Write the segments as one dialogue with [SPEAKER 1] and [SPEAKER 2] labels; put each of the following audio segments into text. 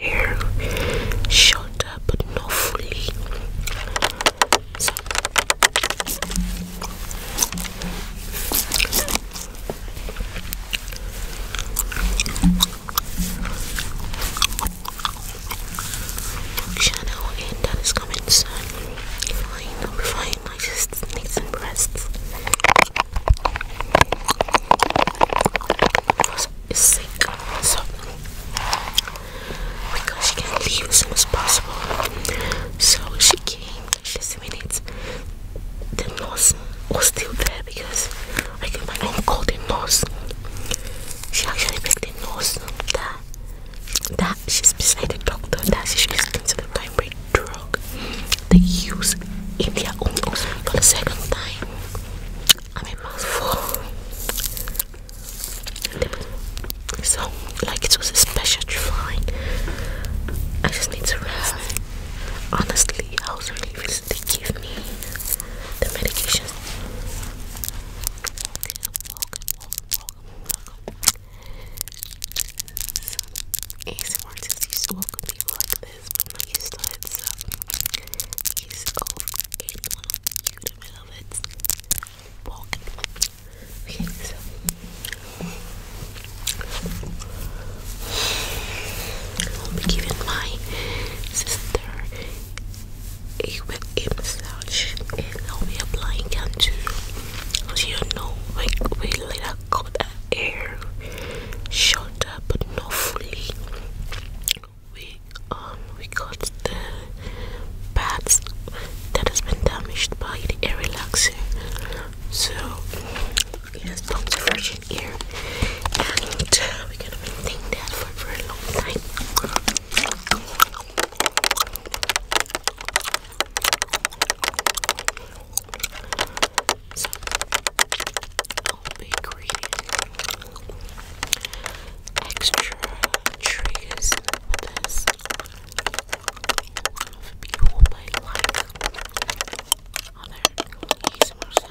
[SPEAKER 1] hair shoulder but not fully so. and that is coming soon fine I'm fine I just need some breasts is sick, so because she can leave as soon as possible. So she came 15 minutes. The nurse was still there because I can my mom called the nurse. She actually begged the nurse that that she's beside the doctor that she should listen to the right drug they use in their own house for the second time. I'm a mouthful. So, like, it was a special find. I just need to rest. Honestly, I was relieved they give me the medication. Welcome, welcome, welcome, welcome. So, ASMR tells you welcome people I'm used to it, it. so I'll be giving my sister a wet massage I'll be applying contour. So you know like we later got that air shot up but not we um we got the parts that has been damaged by the air relaxer so it has come to fresh air and uh, we can maintain that for, for a long time so i be creating extra triggers this. One of people might like sounds.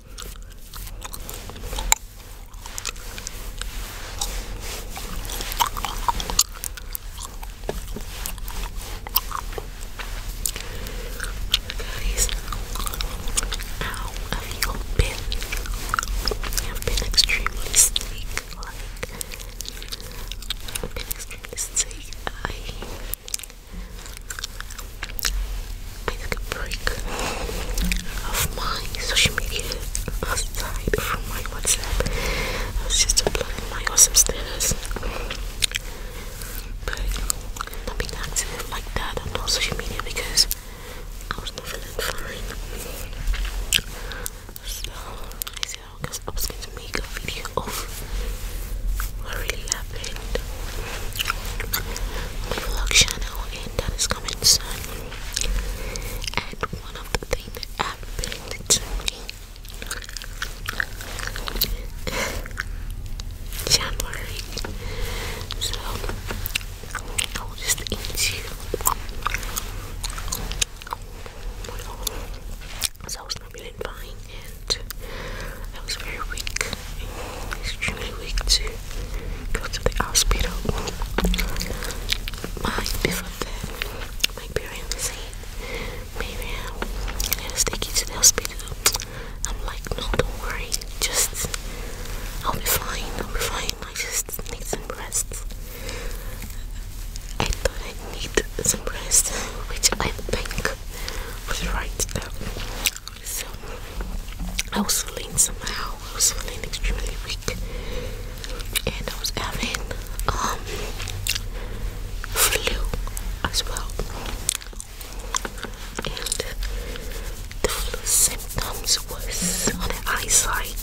[SPEAKER 1] Guys, you I've been extremely sick, I've been extremely sick. I took a break of my social media aside from my WhatsApp. I was just uploading my awesome status. But not being active like that on social media because I was not feeling fine. So I said to oh, make a video of what really happened vlog channel and that is coming soon. And one of the things that happened to January. So I'll just eat you. So I was not feeling fine and I was very weak, extremely weak to go to the hospital. My before that, my parents said, "Maybe let us take you to the hospital." I'm like, "No, don't worry, just I'll be fine. I'll be fine. I just need some rest." I thought I need some rest, which I think was right. So I was feeling somehow. I was feeling extremely weak, and I was having um flu as well. And the flu symptoms was on the eyesight.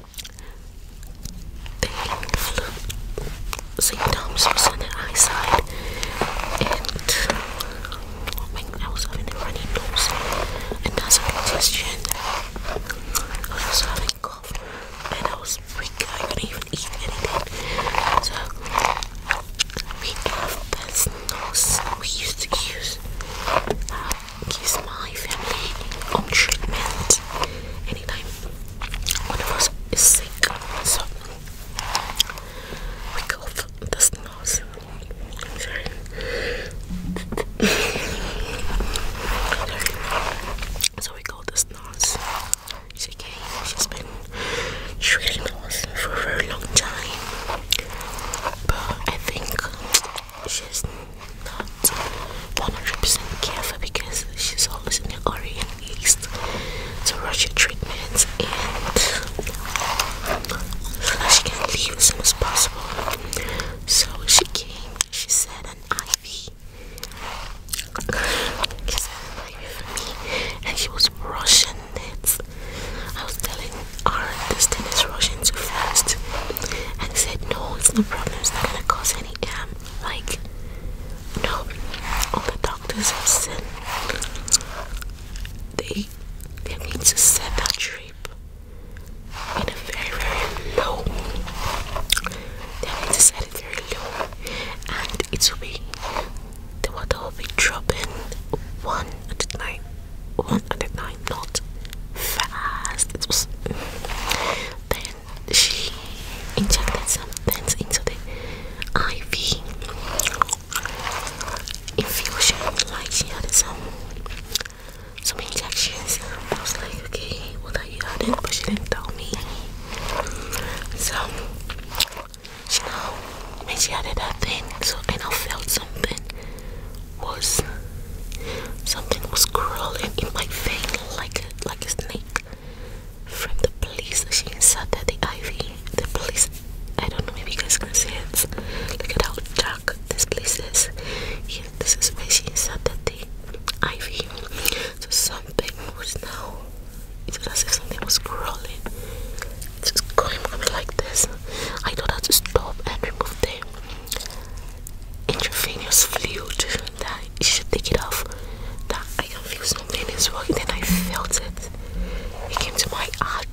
[SPEAKER 1] Pain symptoms was on the eyesight, and oh I, was having a runny nose, and that's a congestion. I was also having cough, and I was weak, I couldn't even eat anything. So, we have best nose we used to use. Uh, gives my family on treatment anytime one of sick. So we cough this nose. I'm sorry. So we go this nose. She's been treating us for a very long time. But I think she's not 100% careful because she's always in the Orient East to Russia treatments and so that she can leave as soon as possible. So she came, she said an IV. She said an IV for me and she was Russian. It. I was telling her this thing is Russian too fast and they said no it's no problem, it's not gonna cause any um like, no, all the doctors have said they they need to set that trip in a very very low. They need to set it very low, and it will be the water will be dropping one at a time, not fast. It was she injected some things into the IV infusion, like she had some some injections. I was like, okay, what are you doing? But she didn't tell me. So she now when she added that thing, so and I felt something was Something was crawling in my vein like a, like a snake. From the police, she inserted the ivy. The police, I don't know, maybe you guys can see it. Look at how dark this place is. Here, this is where she inserted the ivy. So something was now. It as if something was crawling. It's just going, going like this. I told her to stop and remove them intravenous fluid that you should take it off. That I can feel something is wrong. Then I felt it. It came to my heart,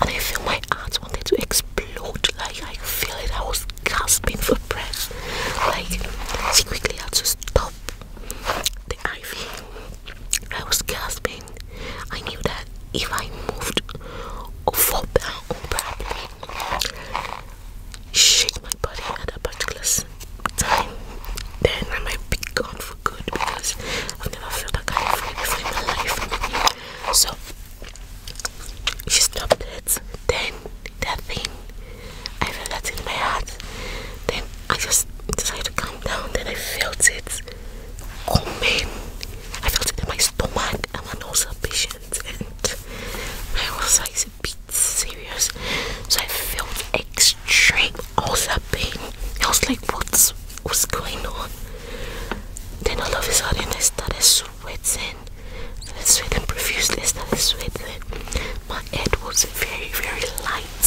[SPEAKER 1] and I feel my heart wanted to explode. Like I feel it. I was gasping for breath. Like she quickly had to stop the IV. I was gasping. I knew that if I moved or fell down or probably shake my body at a particular time, then I might be gone for good because I've never felt that kind of way before in my life. So she stopped it. Then that thing, I felt that in my heart. Then I just decided to calm down. Then I felt it coming. I felt it in my stomach. I'm an ulcer patient bands was like the beats serious so I felt extreme also pain I was like what's what's going on then all of a sudden I started sweating started sweating profusely started sweating my head was very very light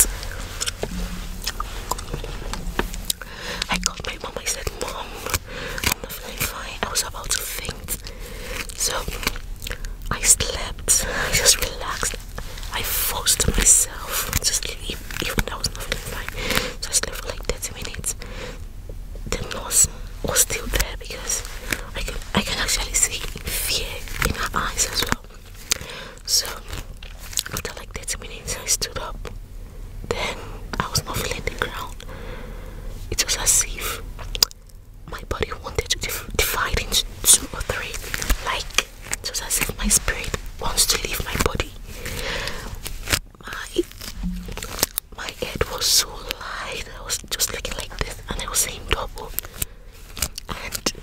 [SPEAKER 1] I called my mom I said mom I was about to faint. So I slept. I just relaxed. I forced myself to sleep even though I was not feeling fine. So I slept for like 30 minutes. The nurse was still there because I can I can actually see fear in her eyes as well. So after like 30 minutes I stood up. Then I was not feeling the ground. It was as if my body wanted to divide into two or three. Like, it was as if my spirit wants to leave my body. My my head was so light. I was just looking like this, and I was saying double. And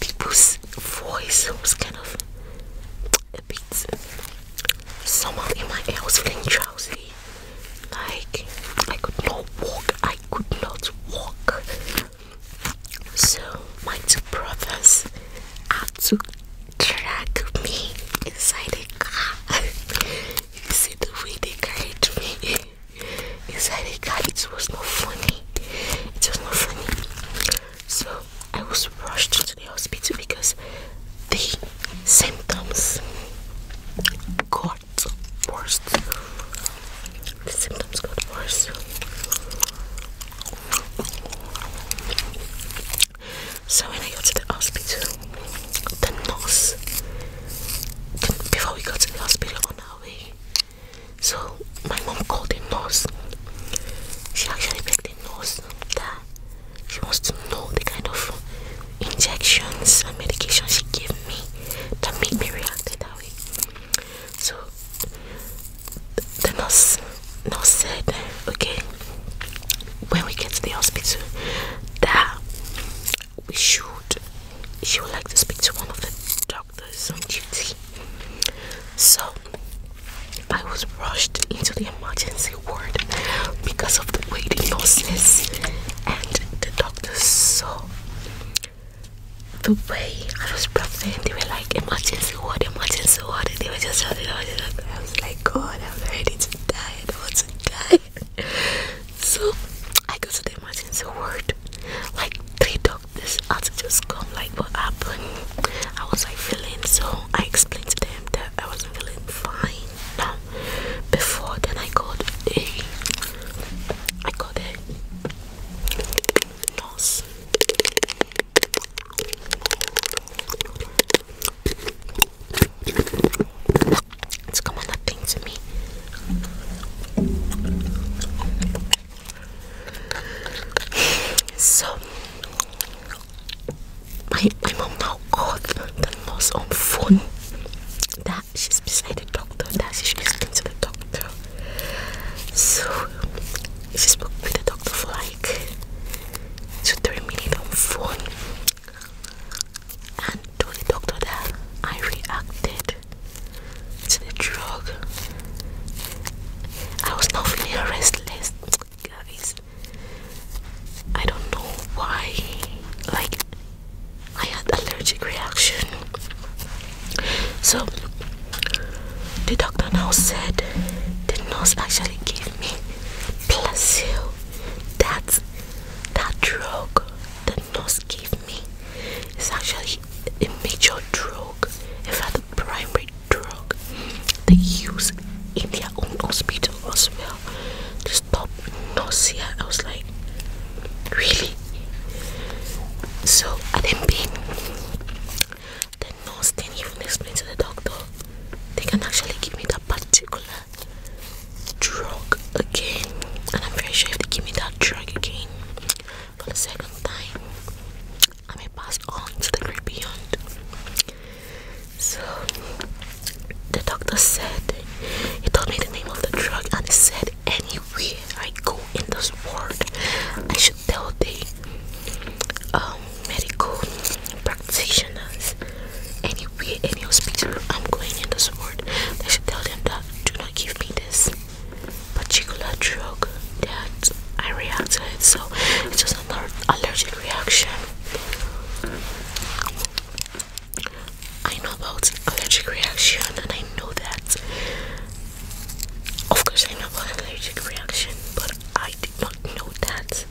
[SPEAKER 1] people's voice was kind of a bit. Someone in my ear was feeling drowsy. Like, I could not walk, I could not walk. So, my two brothers had to drag me inside a car. you see the way they carried me inside a car, it was not funny. It was not funny. So, I was rushed to the hospital because the symptoms got worse. The symptoms got worse. So when I got to the hospital, the nurse, before we got to the hospital on our way, so my mom called the nurse. She actually begged the nurse she wants to know the kind of injections and medication she gave me that make me react that way. So the nurse, nurse said, okay, when we get to the hospital, that we should, she would like to speak to one of the doctors on duty. So I was rushed into the emergency reward because of the weightlessness and the doctors saw the way I was breathing. They were like emergency ward, emergency ward. They were just shouting. I was like, God, I'm ready to die. I don't want to die. so I go to them, the emergency ward. Like three doctors had to just come. Like what happened? I was like feeling so. I explained to them that I was feeling fine. No, before then I got a I got a it's coming on that to me so my my mom now called the nurse on phone that she's beside the doctor that she should speaking to the doctor. So she spoke with the doctor for like two three minutes on phone and told the doctor that I reacted to the drug. I was not feeling restless guys I don't know why like I had allergic reaction so the doctor now said the nurse actually gave me placebo that that drug the nurse gave me is actually a major drug in fact the primary drug they use in their own hospital as well stop nausea. I was like, really? So I didn't pay. The nurse didn't even explain to the doctor they can actually give me that particular drug again. And I'm very sure if they give me that drug again for the second time, I may pass on to the great beyond. So the doctor said he told me the name of the drug and he said anywhere I go in this world I should tell the um, medical practitioners anywhere in your speech I'm going in this world I should tell them that do not give me this particular drug that I react to it so an allergic reaction. I know about allergic reaction and I know that of course I know about allergic reaction but I did not know that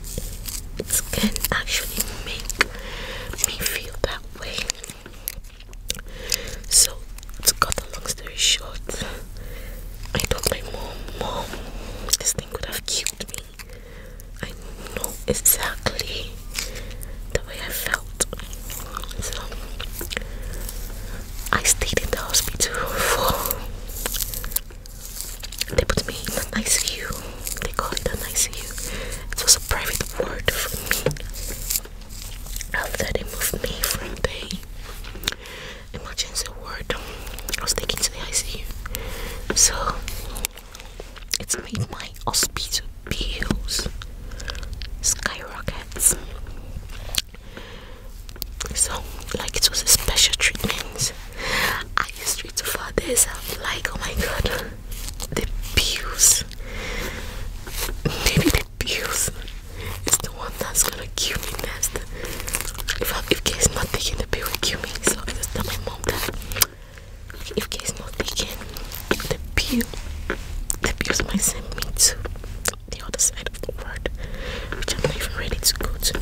[SPEAKER 1] it can make me feel that way. So to cut the long story short I told my mom, mom, this thing could have killed me. I know exactly the way I felt. So I stayed in the hospital for they put me in an ICU. They call it an ICU. It was a private ward for me. After they moved me from the emergency ward, I was taken to the ICU. So it's made my hospital bills skyrockets. So, like, it was a special treatment. I used to for this. like, oh my god, the bills. Maybe the bills is the one that's gonna kill me next. If I, if K is not taking the pill, kill me. So I just tell my mom hope if case not taken, the pill, the pills might send me to the other side of the world, which I'm not even ready to go to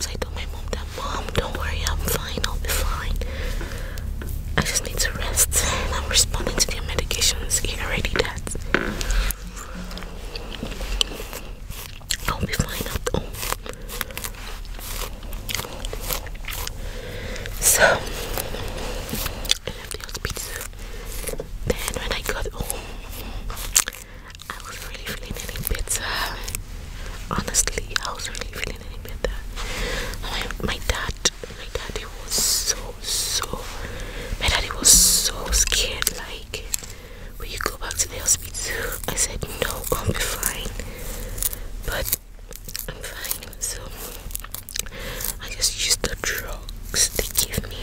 [SPEAKER 1] So I told my mom that, Mom, don't worry, I'm fine, I'll be fine. I just need to rest. And I'm responding to their medications. Yeah, already that. I'll be fine So, Then, when I got home, I was really feeling any Honestly, I was really feeling any My, my dad, my daddy was so, so, my daddy was so scared. Like, Will you go back to nail speeds? I said, No, i am fine. But I'm fine. So I just used the drugs they give me,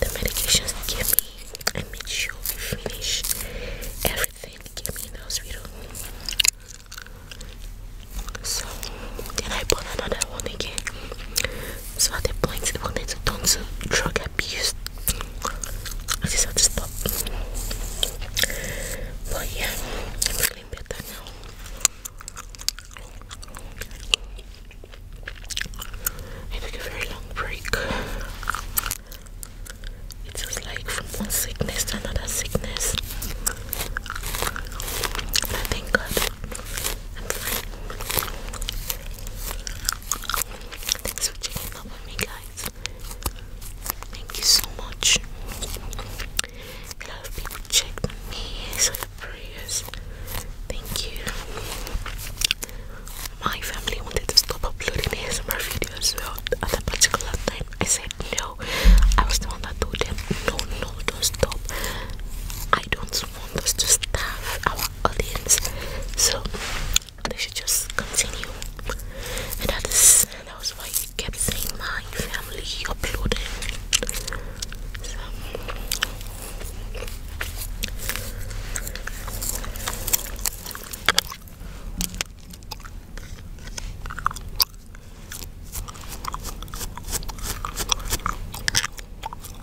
[SPEAKER 1] the medications they give me, I made sure we finish everything they gave me those the So then I bought another one again. So at the point, I wanted to turn to drug abuse I just have to stop. But yeah, i now. I took a very long break. It was like from one sickness to another sickness. But thank God I'm fine. Thanks for checking out me guys. Thank you so much. A people checked me, so prayers. Thank you. My family wanted to stop uploading ASMR videos well at a particular time. I said no. I was the one that told them no no don't stop. I don't want us to starve our audience. So they should just continue. And that was why he kept saying my family uploaded.